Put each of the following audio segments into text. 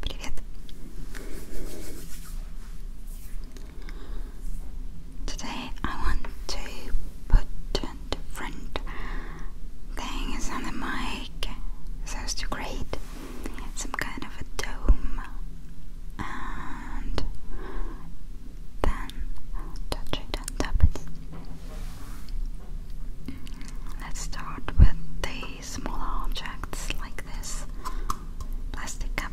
Привет. Today I want to put different things on the mic so to create some kind of a dome then touch and tap Let's start with the smaller objects like this plastic cup.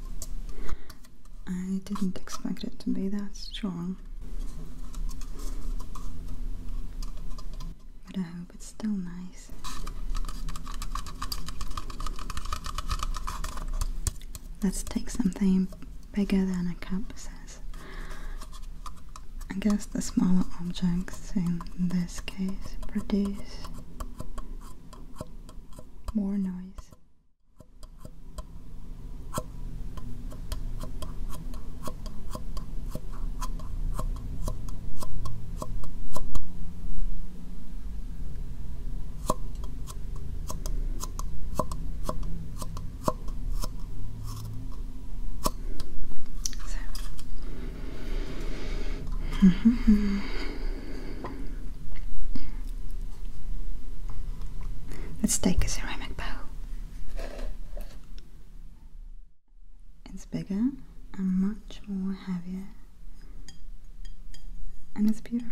I didn't expect it to be that strong. But I hope it's still nice. Let's take something bigger than a cup says. I guess the smaller objects in this case produce more noise. So. Let's take a ceramic bowl. It's bigger and much more heavier, and it's beautiful.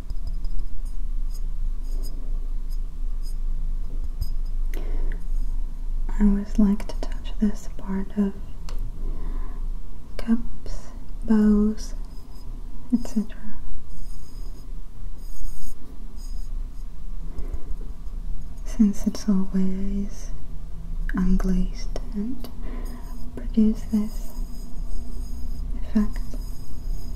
I always like to touch this part of cups, bows, etc. Since it's always unglazed and produce this effect.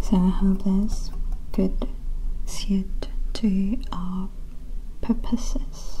So I hope this could suit to our purposes.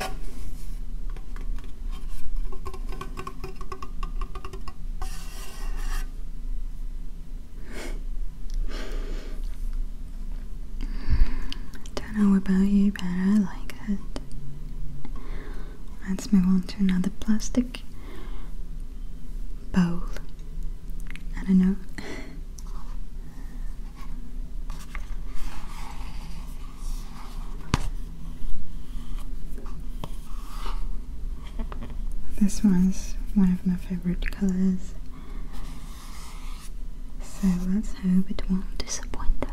I Don't know about you, but I like it. Let's move on to another plastic bowl. I don't know. This one's one of my favorite colors. So let's hope it won't disappoint us.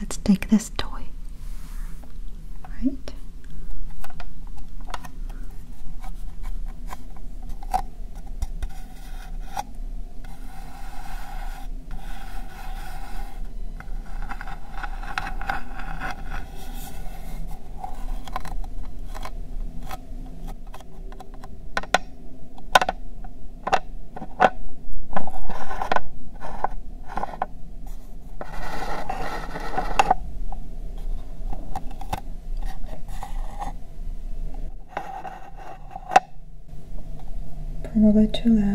Let's take this toy. Right? Probably too loud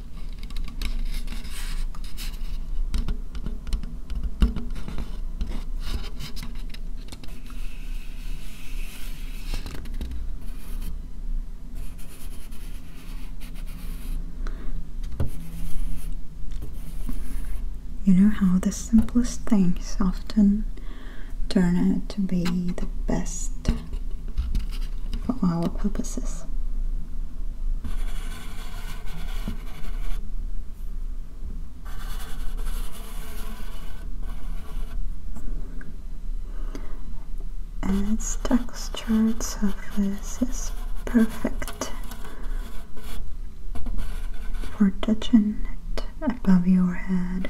You know how the simplest things often turn out to be the best for our purposes its texture surface is perfect for touching it above your head.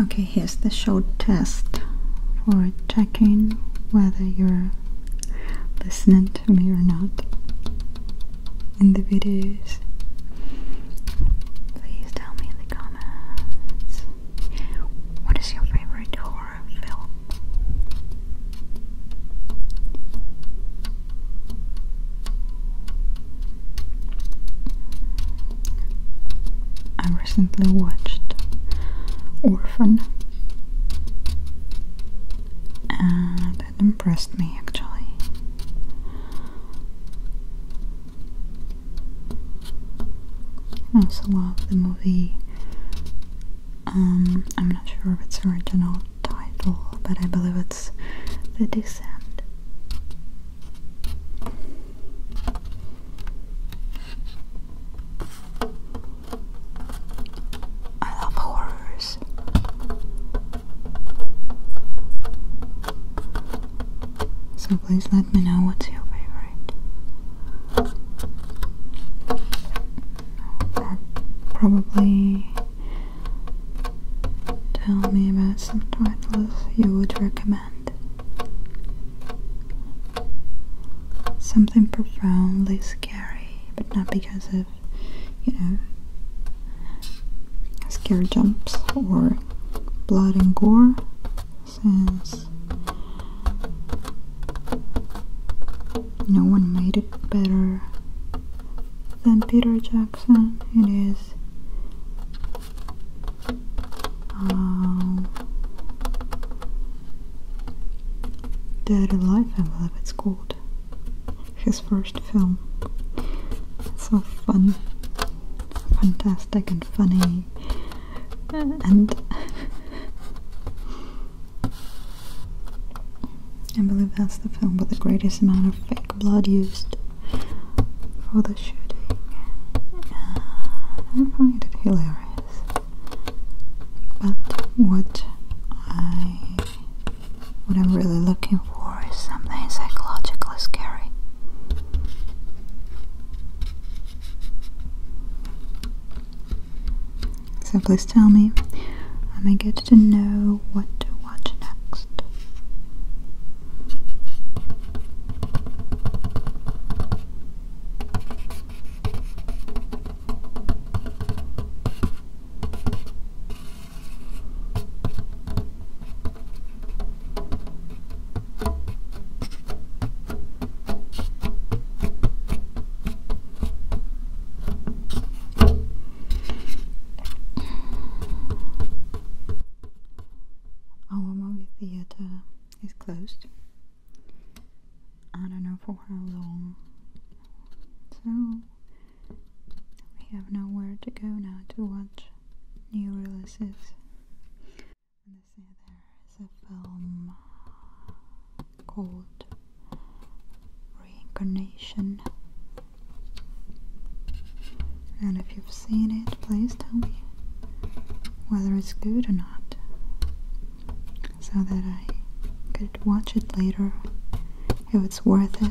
Okay, here's the short test for checking whether you're listening to me or not in the videos. Please tell me in the comments what is your favorite horror film? I recently watched Orphan and that impressed me actually. I also love the movie. Um, I'm not sure of its original title, but I believe it's The Descent. I love horrors. So please let me know what's your favorite. probably tell me about some titles you would recommend. Something profoundly scary, but not because of, you know, scare jumps or blood and gore since no one made it better than Peter Jackson. It is Dead Alive, I believe it's called his first film. so fun, fantastic, and funny, and I believe that's the film with the greatest amount of fake blood used for the shooting. Uh, I find it hilarious, but what I what I'm really looking for is something psychologically scary. So please tell me, I'm eager to know what to watch next. Our movie Theatre is closed. I don't know for how long. So we have nowhere to go now to watch new releases. And I see there is a film called Reincarnation. And if you've seen it, please tell me whether it's good or not so that I could watch it later if it's worth it.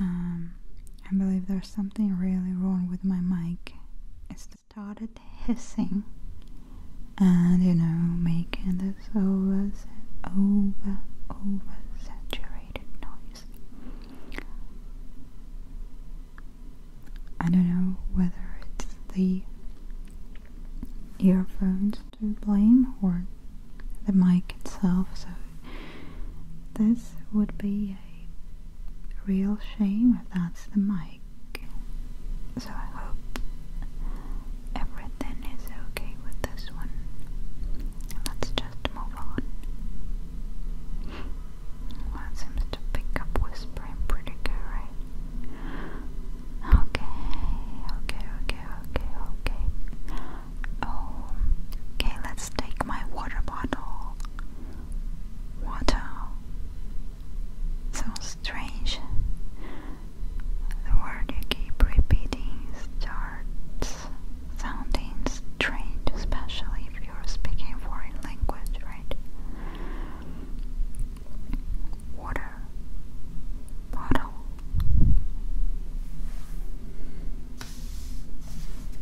Um, I believe there's something really wrong with my mic started hissing and you know making this over over saturated noise. I don't know whether it's the earphones to blame or the mic itself so this would be a real shame if that's the mic. So I hope everything is okay with this one. Let's just move on. Well, seems to pick up whispering pretty good, right? Okay, okay, okay, okay, okay. Oh, okay, let's take my water bottle water. So strange. The word you keep repeating starts sounding strange, especially if you're speaking foreign language, right? Water bottle.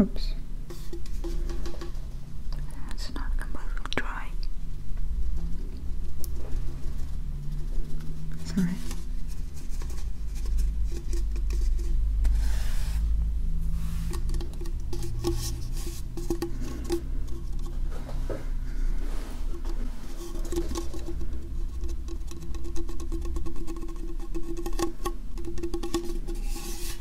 Oops. It's not completely dry. It's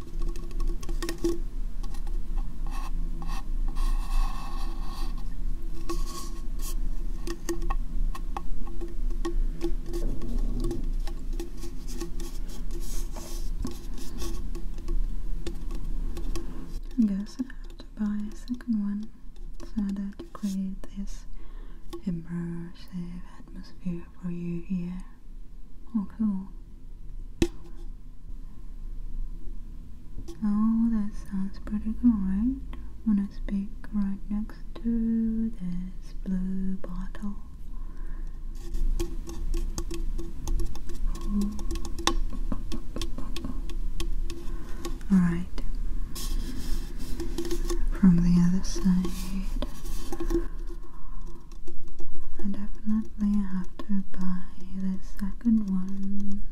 I guess I have to buy a second one so that you create this immersive atmosphere do for you here. Oh, cool. Oh, that sounds pretty cool, right? Wanna speak right next to this blue bottle. Alright. From the other side. I definitely have to buy the second one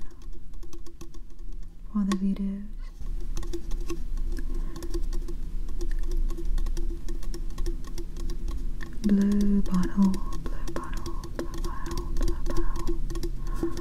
for the videos. Blue bottle, blue bottle, blue bottle, blue bottle.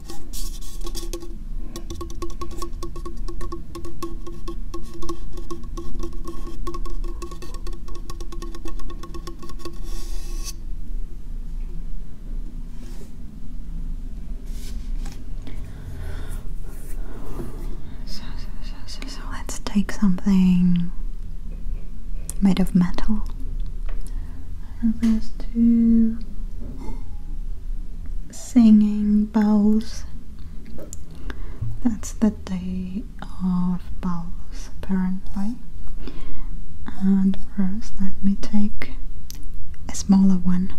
So, so, so, so, let's take something made of metal. And let singing bowls. That's the day of bowls, apparently. And first, let me take a smaller one.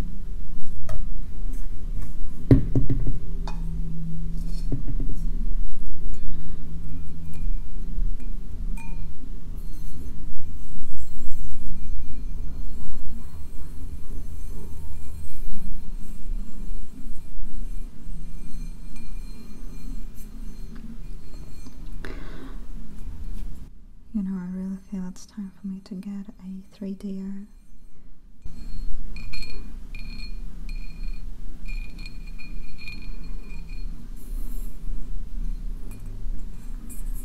You know, I really feel it's time for me to get a 3D.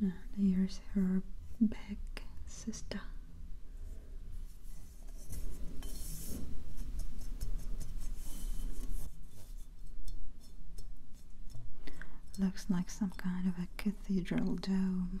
And ah, here's her big sister Looks like some kind of a cathedral dome.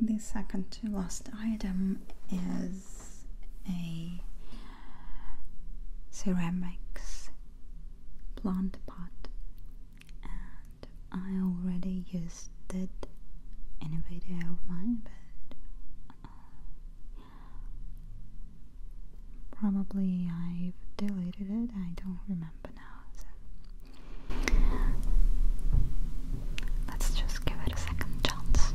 The second to last item is a ceramics plant pot, and I already used it in a video of mine, but uh, probably I've deleted it, I don't remember now. So. Let's just give it a second chance.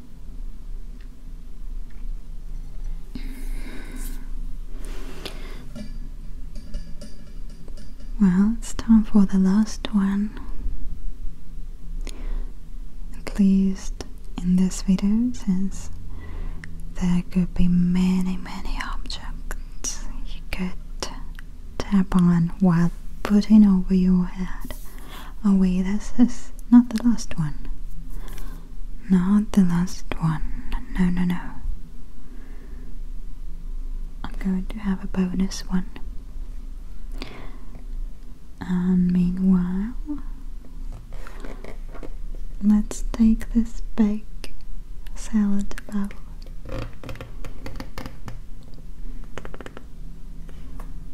Well, it's time for the last one. At least in this video, since there could be many, many objects you could tap on while putting over your head. Oh wait, this is not the last one. Not the last one. No, no, no. I'm going to have a bonus one. And meanwhile, let's take this big salad bowl.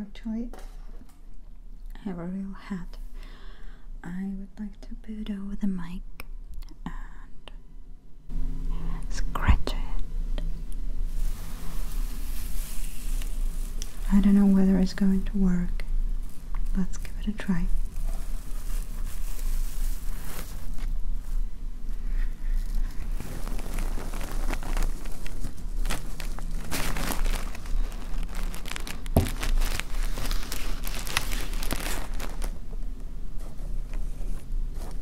Actually, I have a real hat. I would like to put over the mic Scratch it. I don't know whether it's going to work. Let's give it a try.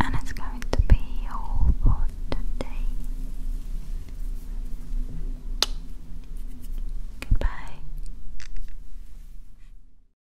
And it's going to be all for today. Goodbye.